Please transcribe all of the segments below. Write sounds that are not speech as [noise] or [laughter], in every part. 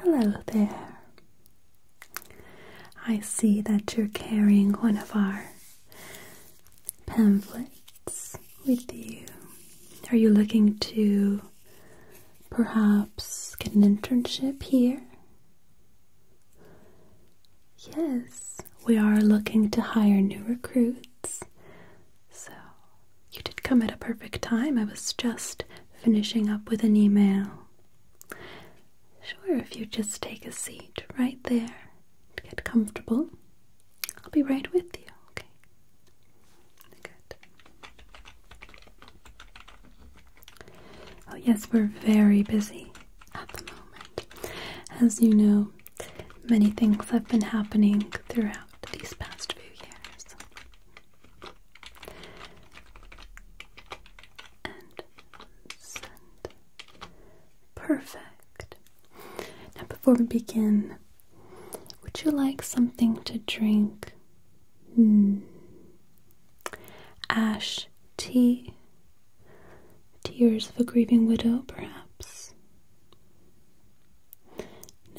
Hello there. I see that you're carrying one of our pamphlets with you. Are you looking to perhaps get an internship here? Yes, we are looking to hire new recruits. So you did come at a perfect time. I was just finishing up with an email. Sure, if you just take a seat right there and get comfortable, I'll be right with you, okay? Good. Oh, yes, we're very busy at the moment. As you know, many things have been happening throughout these past few years and Perfect. Now, before we begin, would you like something to drink? Hmm. Ash tea? Tears of a grieving widow, perhaps?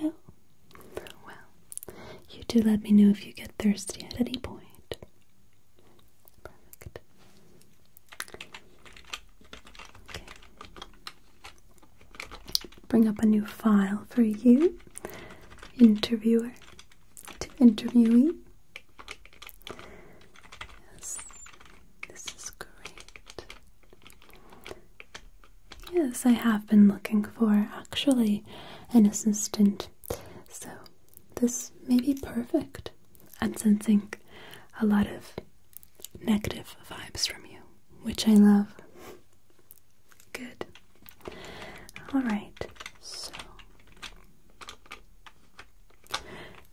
No? Well, you do let me know if you get thirsty at any point. Perfect. Bring up a new file for you, interviewer to interviewee. Yes, this is great. Yes, I have been looking for actually an assistant, so this may be perfect. I'm sensing a lot of negative vibes from you, which I love. Good. Alright, so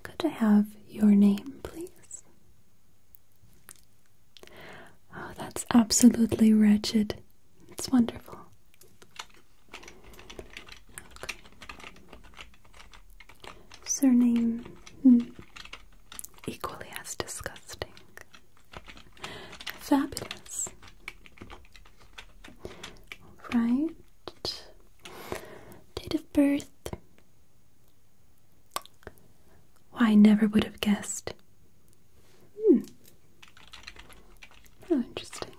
could I have your name, please? Oh, that's absolutely wretched. It's wonderful. Surname hmm, equally as disgusting. Fabulous. Right. Date of birth I never would have guessed. Hmm. How oh, interesting.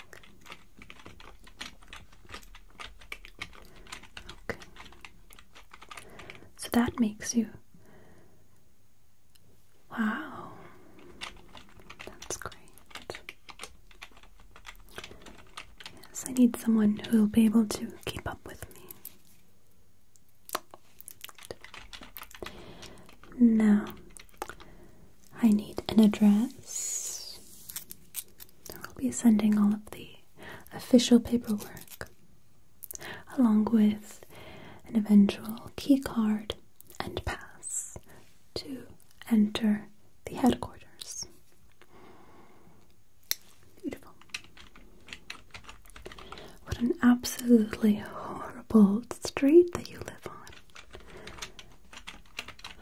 Okay. So that makes you. Wow. That's great. Yes, I need someone who will be able to keep up with me. Now, I need an address. I'll be sending all of the official paperwork along with an eventual key card and pass to enter the headquarters. Beautiful. What an absolutely horrible street that you live on.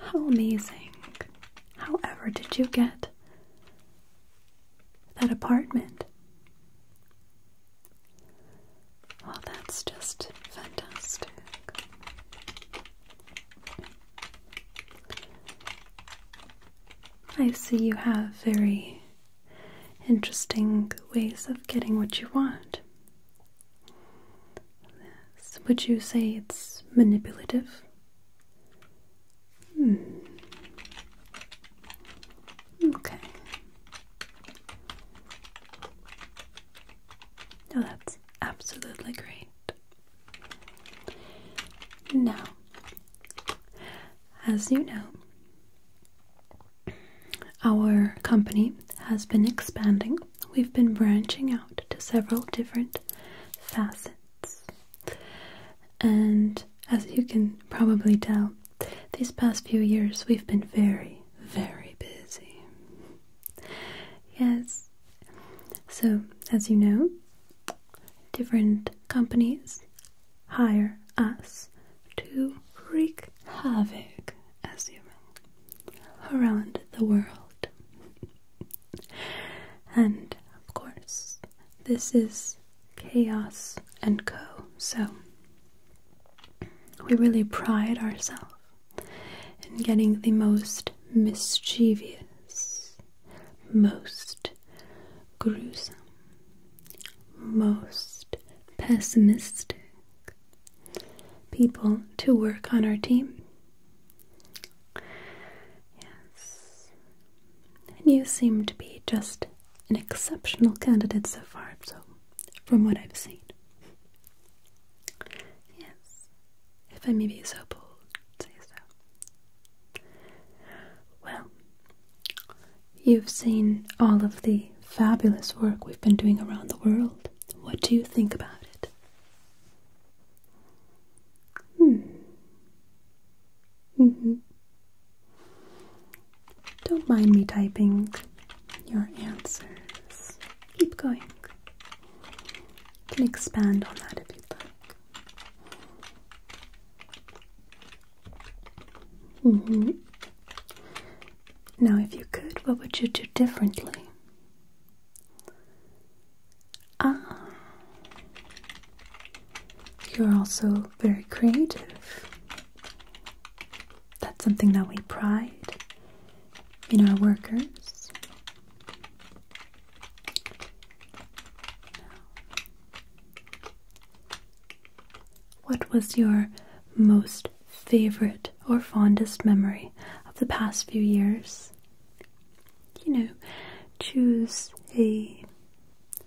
How amazing. However, did you get that apartment? Well, that's just fantastic. I see you have very interesting ways of getting what you want. would you say it's manipulative? Hmm. Okay. Oh, that's absolutely great. Now, as you know, our company has been expanding. We've been branching out to several different facets. And as you can probably tell, these past few years we've been very, very busy. Yes. So, as you know, different companies hire us to wreak havoc as you will around the world. and of course, this is Chaos and Co. So we really pride ourselves in getting the most mischievous, most gruesome, most pessimistic people to work on our team. Yes. And you seem to be just an exceptional candidate so far, so from what I've seen. Yes. If I may be so bold, say so. Well, you've seen all of the fabulous work we've been doing around the world. What do you think about it? Hmm. Mm hmm. Don't mind me typing your answers. Keep going. can expand on that if you'd like. Mm-hmm. Now, if you could, what would you do differently? Ah, you're also very creative. That's something that we pride in our workers. What was your most favorite or fondest memory of the past few years? You know, choose a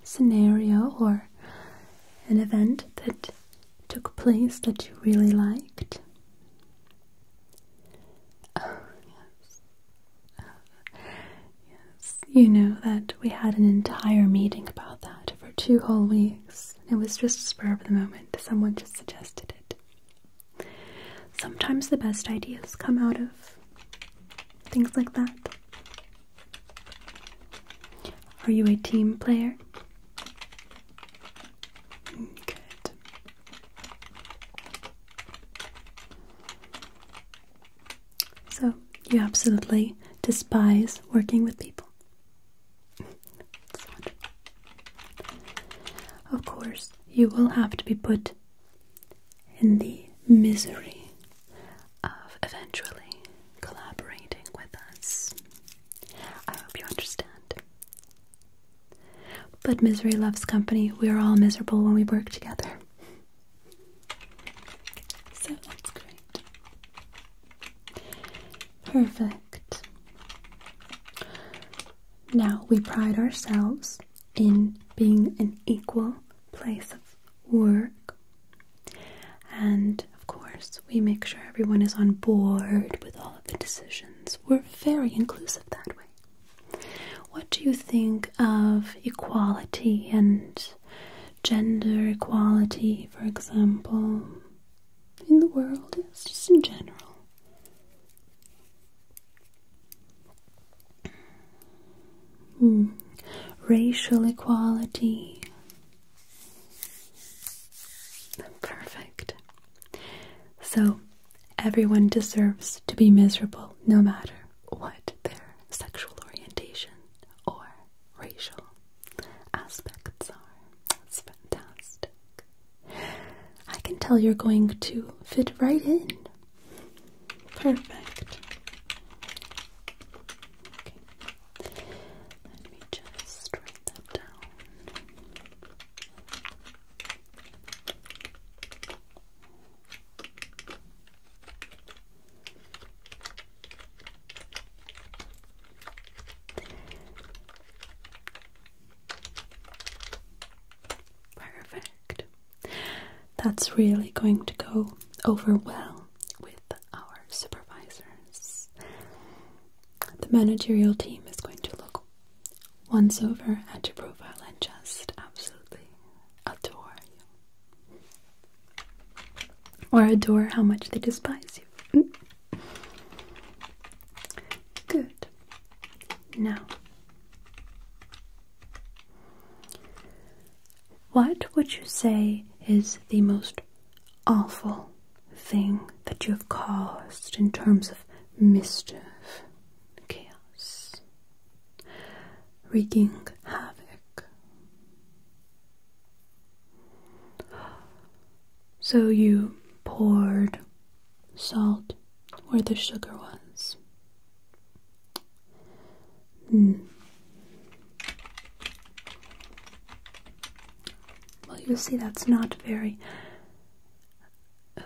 scenario or an event that took place that you really liked. Oh, Yes, you know that we had an entire meeting about that for two whole weeks. It was just a spur of the moment, someone just suggested it. Sometimes the best ideas come out of things like that. Are you a team player? Good. So, you absolutely despise working with people. of course, you will have to be put in the misery of eventually collaborating with us. I hope you understand. But misery loves company. We are all miserable when we work together. So that's great. Perfect. Now we pride ourselves in being an equal place of work. And of course, we make sure everyone is on board with all of the decisions. We're very inclusive that way. What do you think of equality and gender equality, for example, in the world, just in general. Hmm. Racial equality. Perfect. So, everyone deserves to be miserable no matter what their sexual orientation or racial aspects are. fantastic. I can tell you're going to fit right in. Perfect. Let me just write that down. Perfect. That's really going to go over well with our supervisors. The managerial team is going to look once over at your profile and just absolutely adore you or adore how much they despise you. Mm. Good. Now, what would you say is the most awful thing that you have caused in terms of mischief, chaos? wreaking havoc. So you poured salt where the sugar was. Hmm. Well, you see, that's not very.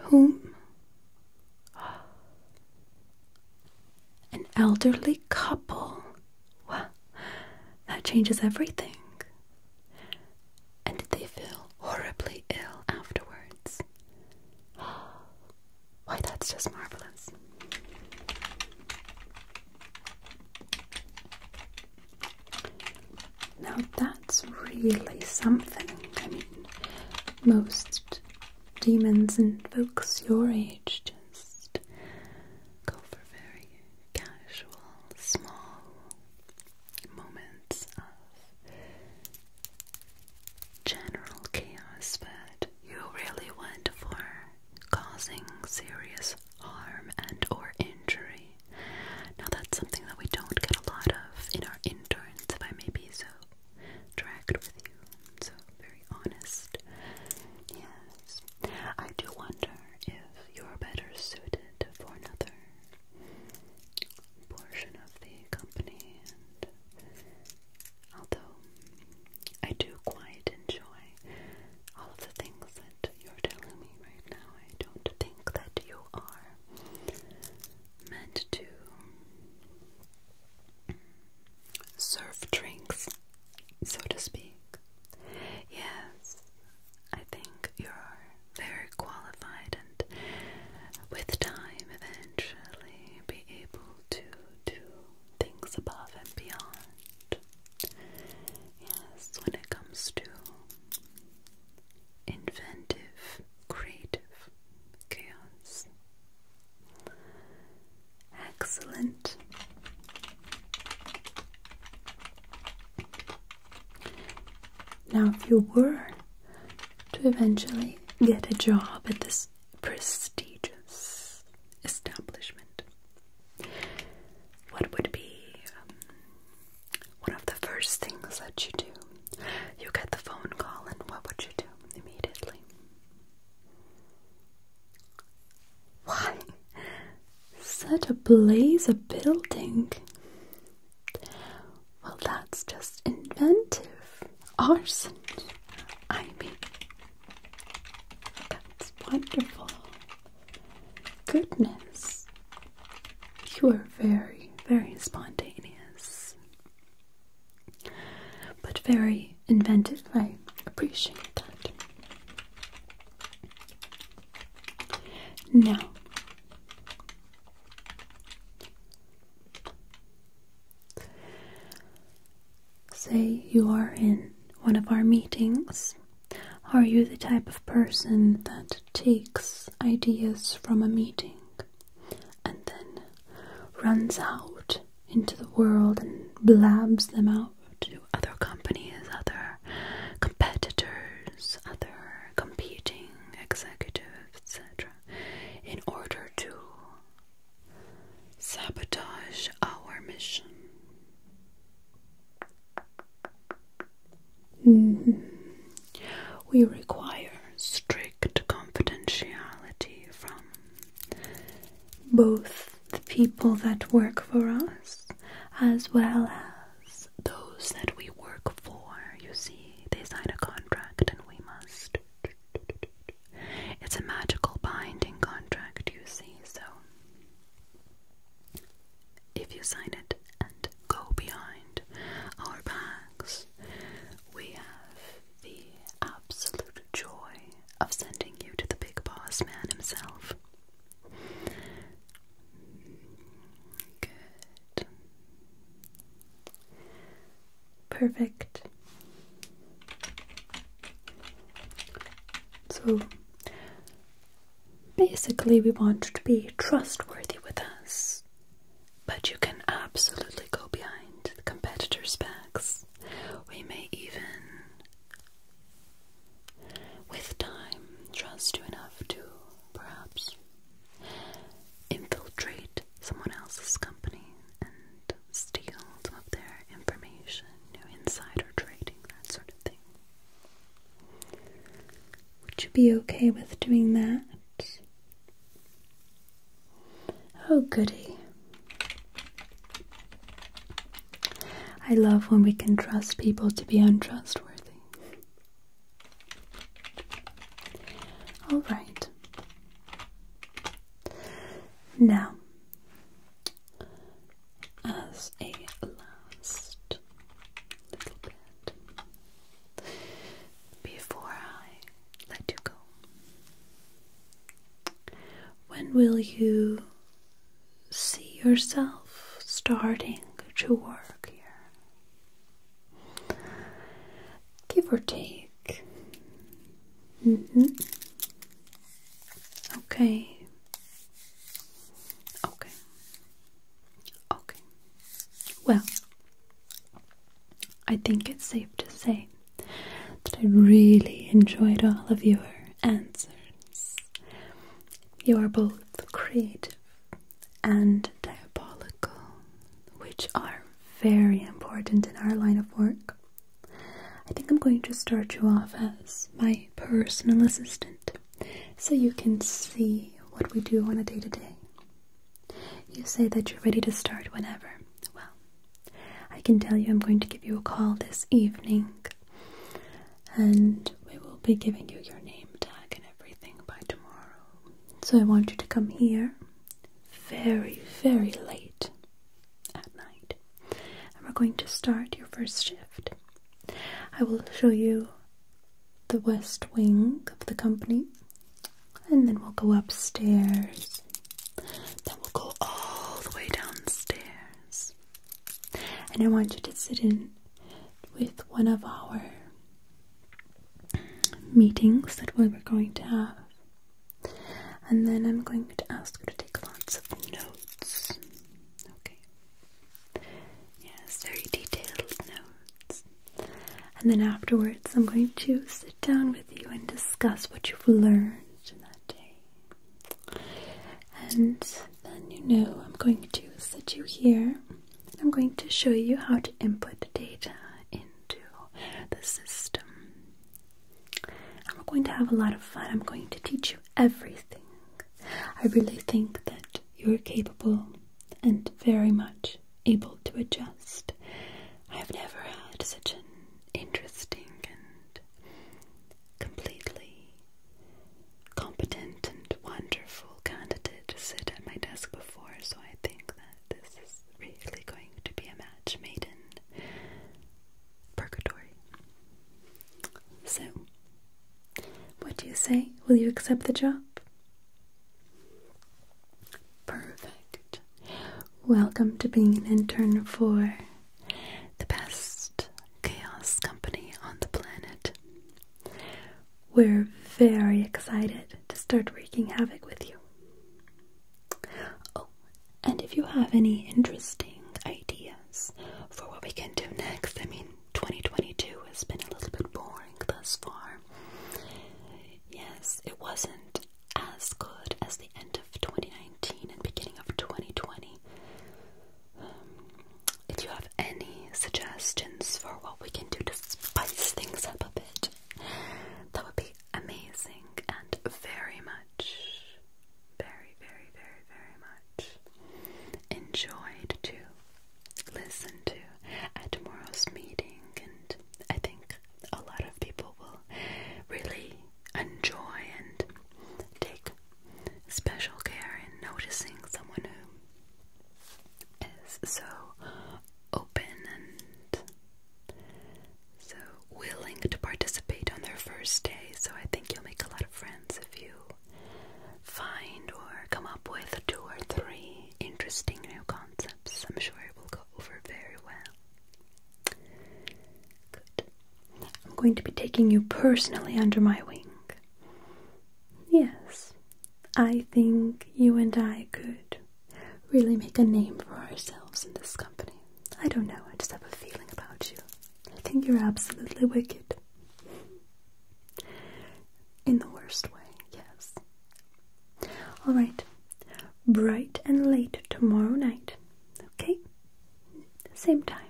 Whom? An elderly couple. that changes everything. And did they feel horribly ill afterwards? [gasps] Why, that's just marvelous. Now, that's really something. I mean, most demons and folks your age go for very casual, small moments of general chaos, but you really went for causing serious harm and or injury. Now that's something that we don't get a lot of in our interns, if I may be so direct with you. So very honest. Yes. I do wonder if you're better suited for another portion of the company and although I do quite enjoy all of the things that you're telling me right now, I don't think that you are meant to serve drinks, so to speak. Yes, I think you are very qualified and with time eventually be able to do things above and beyond. Yes, when it comes to inventive, creative chaos. Excellent. Now, if you were to eventually get a job at this prestigious establishment, what would be um, one of the first things that you do? You get the phone call, and what would you do immediately? Why, such a blaze of building! Well, that's just inventive arson. I mean, that's wonderful. Goodness, you are very, very spontaneous but very inventive. I appreciate that. Now, say you are in one of our meetings. Are you the type of person that takes ideas from a meeting and then runs out into the world and blabs them out to other companies, other competitors, other competing executives, etc., in order to sabotage our mission. Mm-hmm. We require strict confidentiality from both the people that work for us as well as those that we work for. You see, they sign a contract and we must. It's a magical binding contract, you see, so if you sign it and go behind our backs, we have the absolute joy of sending you to the big boss man himself. Good. Perfect. So basically, we want you to be trustworthy with us, but you can absolutely go behind the competitors' backs. We may even, with time, trust you enough to perhaps infiltrate someone else's company and steal some of their information, you insider trading, that sort of thing. Would you be okay with doing that? Oh, goody. I love when we can trust people to be untrustworthy. All right. Now, as a last little bit before I let you go, when will you see yourself starting to work here? Give or take. Mm -hmm. Okay. Okay. Okay. Well, I think it's safe to say that I really enjoyed all of your answers. You are both creative and diabolical, which are very important in our line of work. I think I'm going to start you off as my personal assistant so you can see what we do on a day to day. You say that you're ready to start whenever. Well, I can tell you I'm going to give you a call this evening and we will be giving you your name tag and everything by tomorrow. So I want you to come here very, very late at night and we're going to start your first shift. I will show you the west wing of the company and then we'll go upstairs then we'll go all the way downstairs. And I want you to sit in with one of our meetings that we were going to have. And then I'm going to ask you to take lots of notes. Okay. Yes, very detailed notes. And then afterwards, I'm going to sit down with you and discuss what you've learned that day. And then you know I'm going to sit you here. I'm going to show you how to input data into the system. And we're going to have a lot of fun. I'm going to teach you everything. I really think that you're capable and very much able to adjust. I've never had such an interesting and completely competent and wonderful candidate sit at my desk before, so I think that this is really going to be a match made in purgatory. So, what do you say? Will you accept the job? Perfect. Welcome to being an intern for the best chaos company on the planet. We're very excited to start wreaking havoc with you. Oh, and if you have any interesting ideas for what we can do next, I mean, 2022 has been a little bit boring thus far. Yes, it wasn't as good as the end of 2019 and beginning of 2020. Um, if you have any suggestions for what we can do to spice things up a bit, that would be amazing and very much, very, very, very, very much enjoyed to listen to at tomorrow's meeting. And I think a lot of people will really enjoy and take special care in noticing someone who is so open and so willing to participate on their first day. So I think you'll make a lot of friends if you find or come up with two or three interesting new concepts. I'm sure it will go over very well. I'm going to be taking you personally under my wing. Yes, I think you and I could really make a name for ourselves in this company. I don't know, I just have a feeling about you. I think you're absolutely wicked. In the worst way, yes. All right, bright and late tomorrow night, okay? Same time.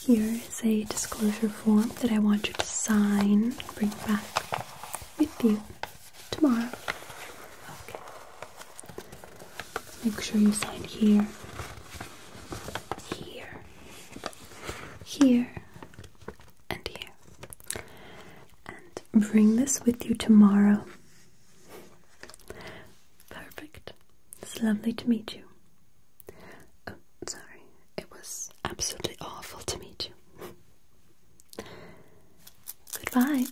Here is a disclosure form that I want you to sign, bring back with you tomorrow. Okay. Make sure you sign here, here, here, and here. And bring this with you tomorrow. Perfect. It's lovely to meet you. Oh, sorry. It was absolutely awful to meet you. [laughs] Goodbye.